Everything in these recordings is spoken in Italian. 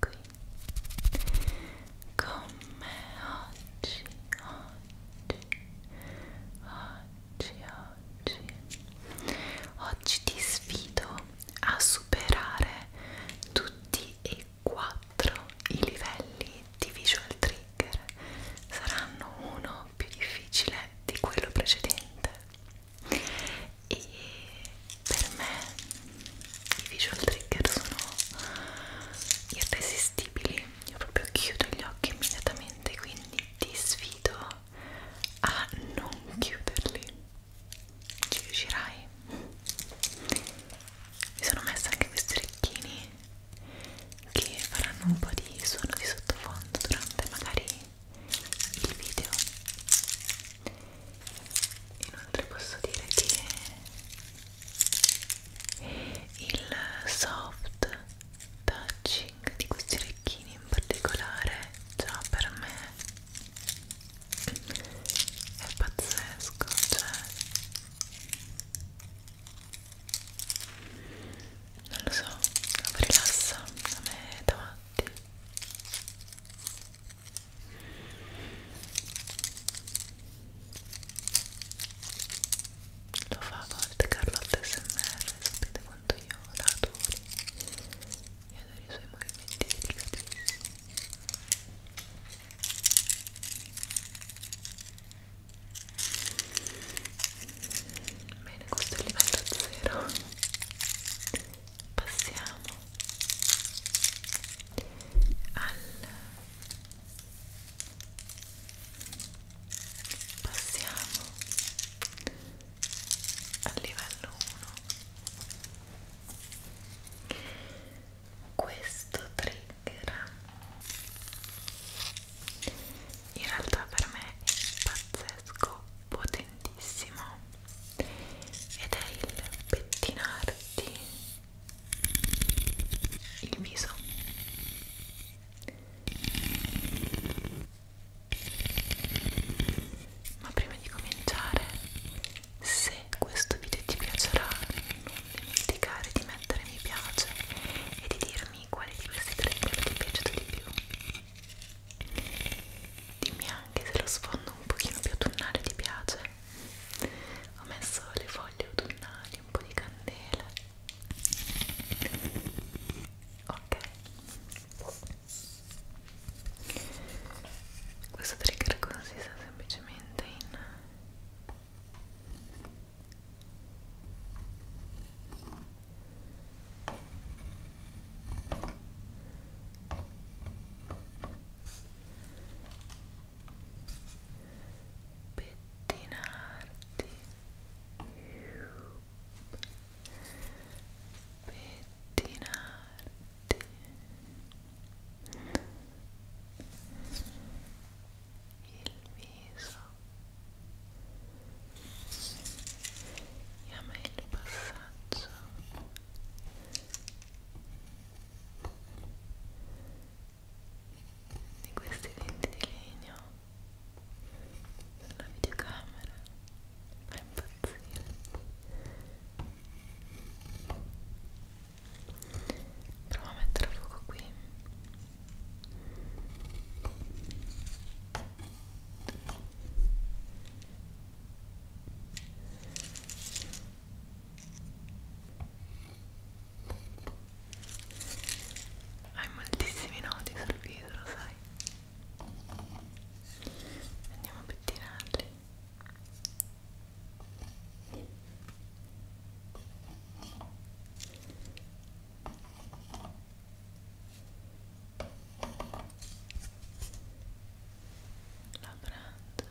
qui con me oggi, oggi, oggi, oggi. Oggi ti sfido a superare tutti e quattro i livelli di visual trigger. Saranno uno più difficile di quello precedente e per me i visual trigger sono irresistibili io proprio chiudo gli occhi immediatamente quindi ti sfido a non chiuderli ci riuscirai mi sono messa anche questi orecchini che faranno un po' di suono di sottofondo durante magari il video inoltre posso dire che il soft touching di questi orecchini in particolare già per me è pazzesco cioè non lo so, mi rilassa a me davanti lo fa a volte Carlotta SMR sapete quanto io la adoro io adoro i suoi movimenti delicatissimi bene questo è il livello 0 passiamo al passiamo al livello 1 questo trigger in realtà per me è pazzesco potentissimo ed è il pettinarti il viso ma prima di cominciare se questo video ti piacerà non dimenticare di mettere mi piace e di dirmi quale di questi tre ti è piaciuto di più dimmi anche se lo sfondo un pochino più autunnale ti piace ho messo le foglie autunnali, un po' di candela ok questo trigger consiste semplicemente in pettinarti pettinarti il viso e a me il passaggio di questi denti di legno sulla videocamera fa impazzire provo a mettere a fuoco qui hai moltissimi nodi sul viso lo sai andiamo a pettinarli la branda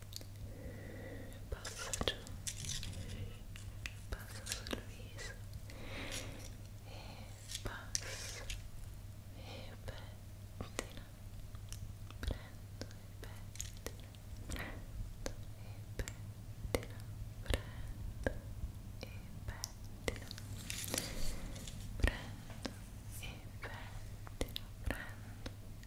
passa giù passa sul viso e passa e pettina prendo e pettina prendo e pettina prendo e pettina prendo e pettina prendo e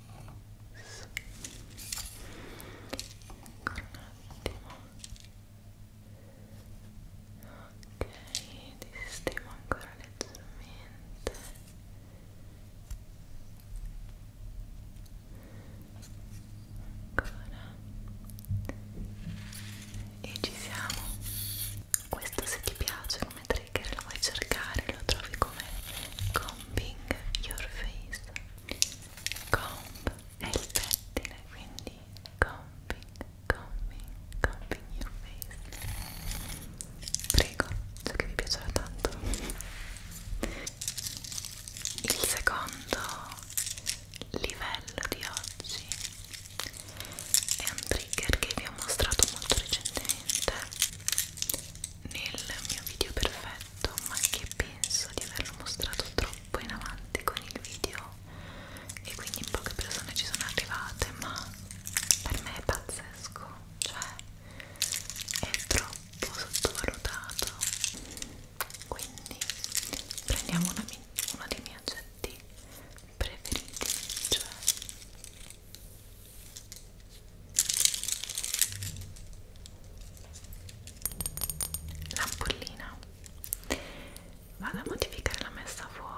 ancora un attimo ok ti sistemo ancora leggermente ancora e ci siamo questo se ti piace come trigger lo vuoi cercare lo trovi come combing your face comb è il pettine quindi combing combing combing your face prego so che vi piacerà tanto il secondo livello di oggi è un trigger che vi ho mostrato molto recentemente nel mio video perfetto ma che penso di averlo mostrato troppo in avanti con il video e quindi poche persone ci sono arrivate ma per me è pazzesco cioè è troppo sottovalutato quindi prendiamo uno dei miei oggetti preferiti cioè l'ampollina vado a modificare la messa a fuoco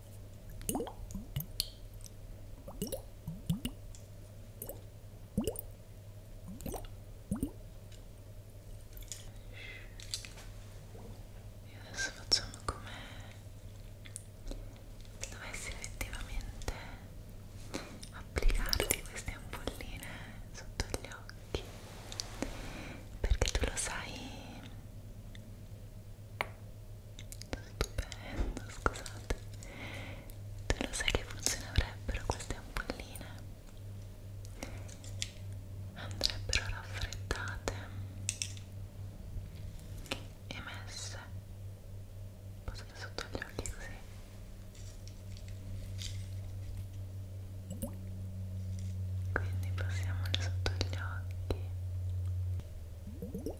E adesso facciamo come dovessi effettivamente applicarti queste ampolline sotto gli occhi perché tu lo sai Stupendo, scusate. Tu lo sai che funzione avrebbero queste ampolline? Andrebbero raffreddate e messe posso sotto gli occhi così. Quindi passiamole sotto gli occhi.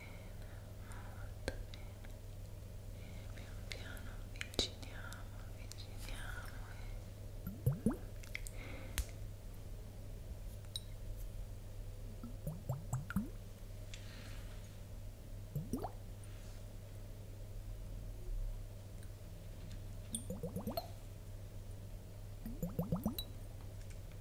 molto bene e pian piano avviciniamo, avviciniamo e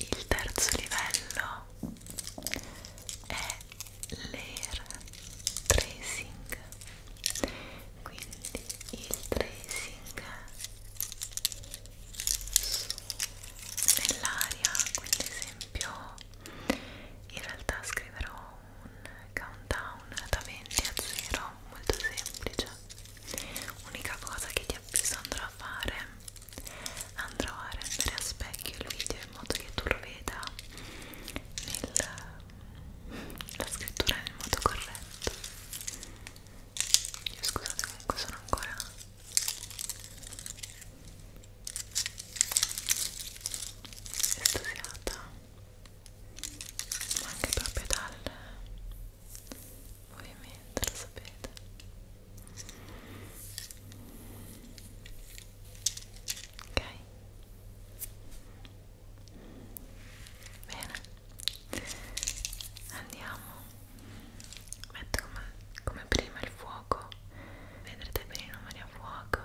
Il terzo livello è l'air tracing, quindi il tracing nell'aria, quindi ad esempio in realtà scriverò un countdown da 20 a 0, molto semplice. Unica cosa che ti avviso andrò a fare andrò a rendere a specchio il video in modo che tu lo veda nella scrittura nel modo corretto io scusate comunque sono ancora estasiata ma anche proprio dal ovviamente lo sapete ok bene andiamo metto come, come prima il fuoco vedrete bene i numeri a fuoco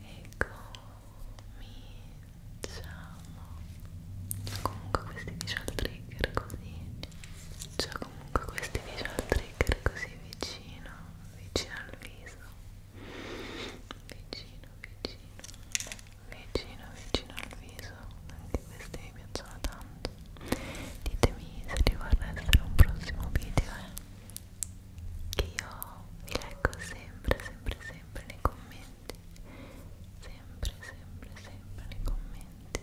e ecco. cominciamo comunque questi visual trigger così c'è cioè, comunque questi visual trigger così vicino, vicino al viso, vicino, vicino, vicino, vicino al viso. Anche questi mi piacciono tanto. Ditemi se vi vorrà essere un prossimo video, eh. Che io vi leggo sempre, sempre, sempre nei commenti. Sempre, sempre, sempre nei commenti.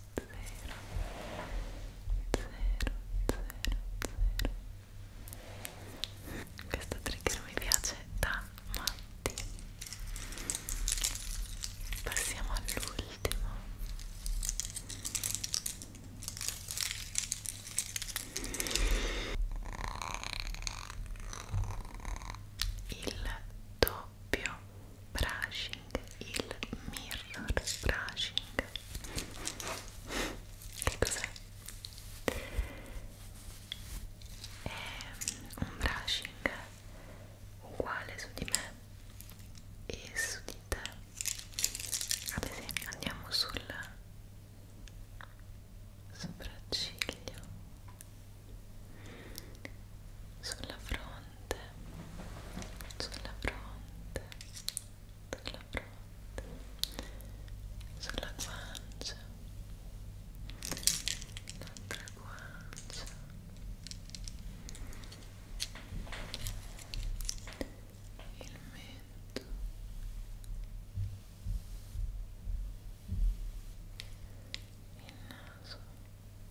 0 Questo trigger mi piace da matti Passiamo all'ultimo il doppio brushing il mirror brushing che cos'è? è un brushing uguale su di me e su di te ad esempio andiamo sul sopracciglio sulla fronte fronte sulla fronte sulla fronte sulla guancia l'altra guancia il mento il naso il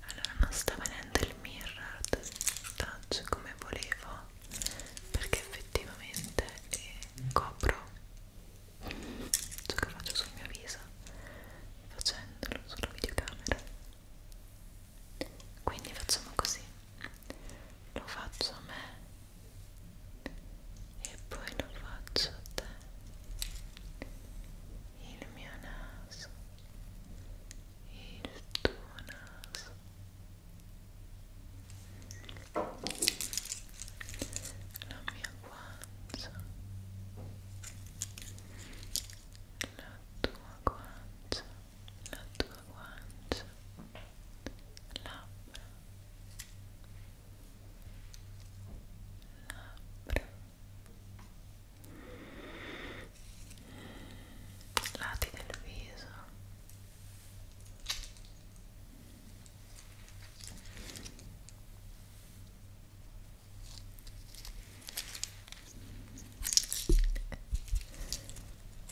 allora non sta venendo il mirror touch come volevo perché effettivamente eh, copro ciò che faccio sul mio viso facendolo sulla videocamera quindi facciamo così lo faccio a me e poi lo faccio a te il mio naso il tuo naso la mia guancia la tua guancia la tua guancia labbra labbra lati del viso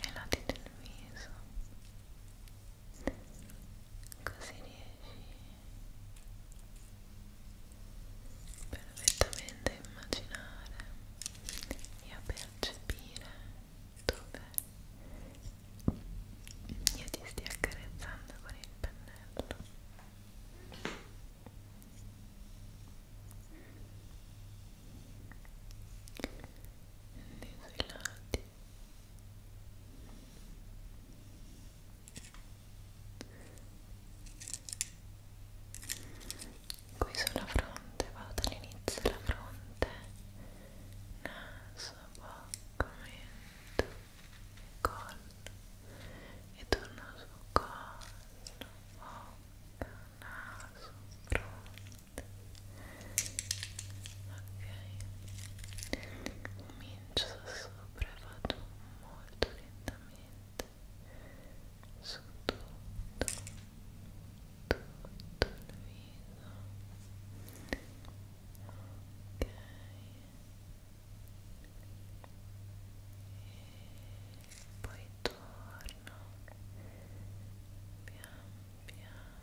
e lati del viso così riesci perfettamente a immaginare e a percepire dove io ti stia accarezzando con il pennello quindi sui lati qui sulla fronte vado dall'inizio alla fronte naso, bocca, mento collo e torno su collo, bocca, naso, fronte ok comincio sopra e vado molto lentamente su tutto tutto il viso ok e poi torno pian piano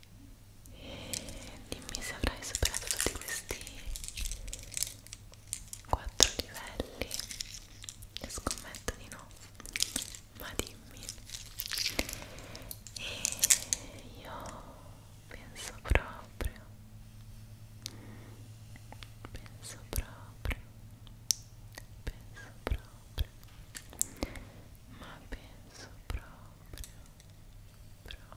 e dimmi se avrai superato tutti questi quattro livelli e scommetto di no ma dimmi e io penso proprio penso proprio penso proprio ma penso proprio proprio